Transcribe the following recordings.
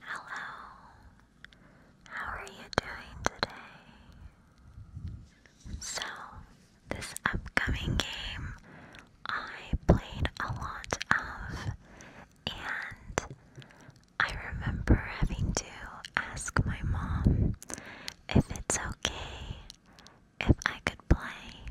Hello, how are you doing today? So, this upcoming game I played a lot of, and I remember having to ask my mom if it's okay if I could play.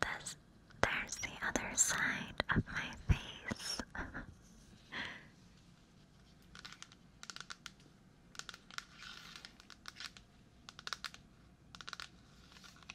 This, there's the other side of my face.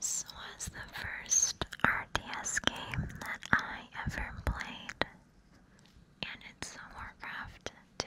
This was the first RTS game that I ever played, and it's Warcraft 2.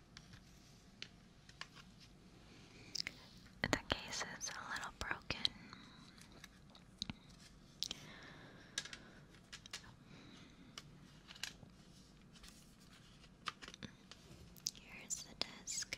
The case is a little broken. Here's the desk.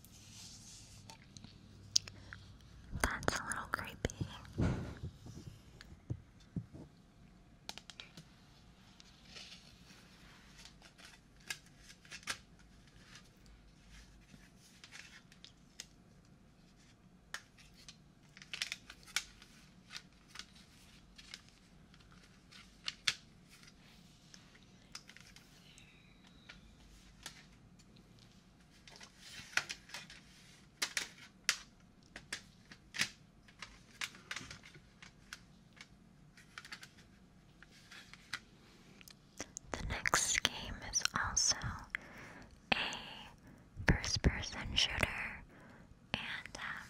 That's a little creepy. The next game is also a first person shooter, and um,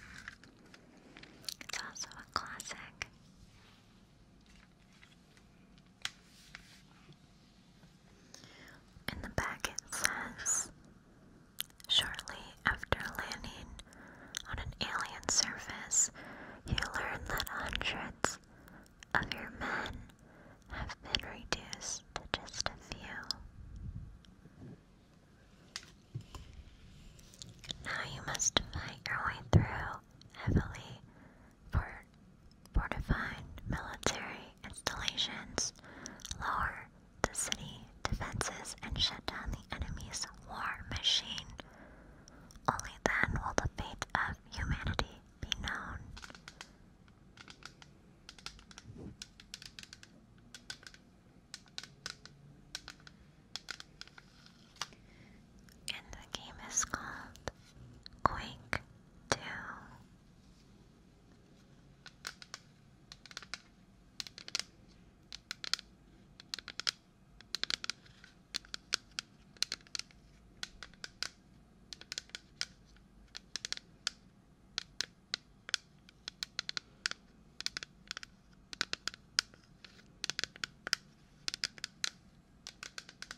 it's also a classic. In the back, it says Shortly after landing on an alien surface, you learn that hundreds of your men have been reduced to just a few. Now you must fight your way through heavily for military installations, lower the city defenses, and shut down the enemy's war machine. Only then will the fate of humanity be known. And the game is called Quake 2.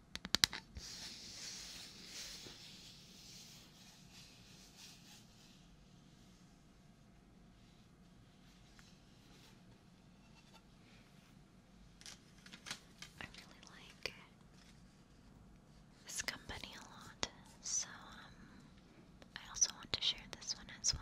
I really like this company a lot, so um, I also want to share this one as well.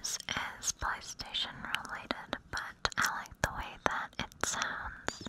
This is PlayStation related, but I like the way that it sounds.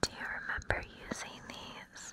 Do you remember using these?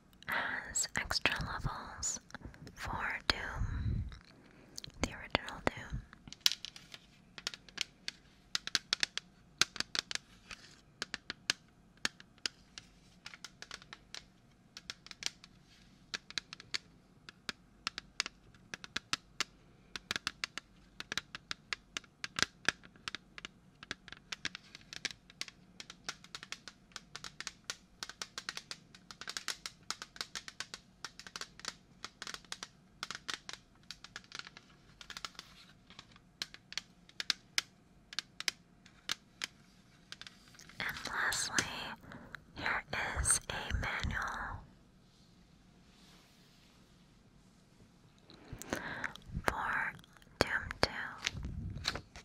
as extra levels for Doom, the original Doom. And lastly, here is a manual for Doom 2.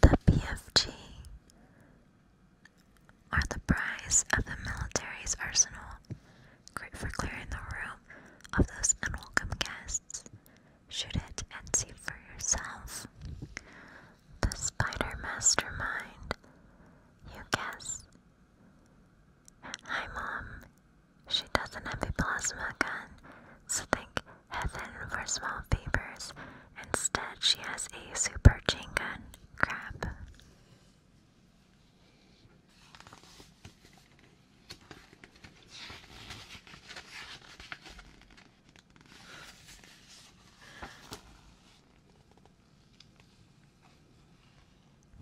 The BFG are the prize of the military's arsenal, great for clearing the room of those unwelcome guests Shoot it and see for yourself. The Spider Mastermind. You guess. Hi, Mom. She doesn't have a plasma gun, so think heaven for small favors. Instead, she has a super chain gun. Crap.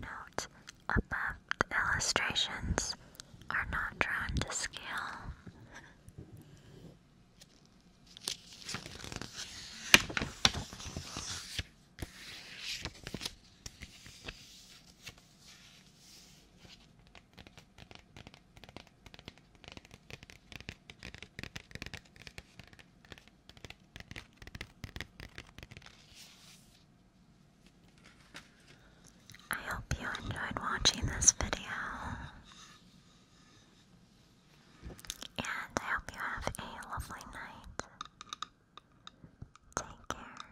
Note, above illustrations are not drawn to scale. I hope you enjoyed watching this video. And I hope you have a lovely night. Take care.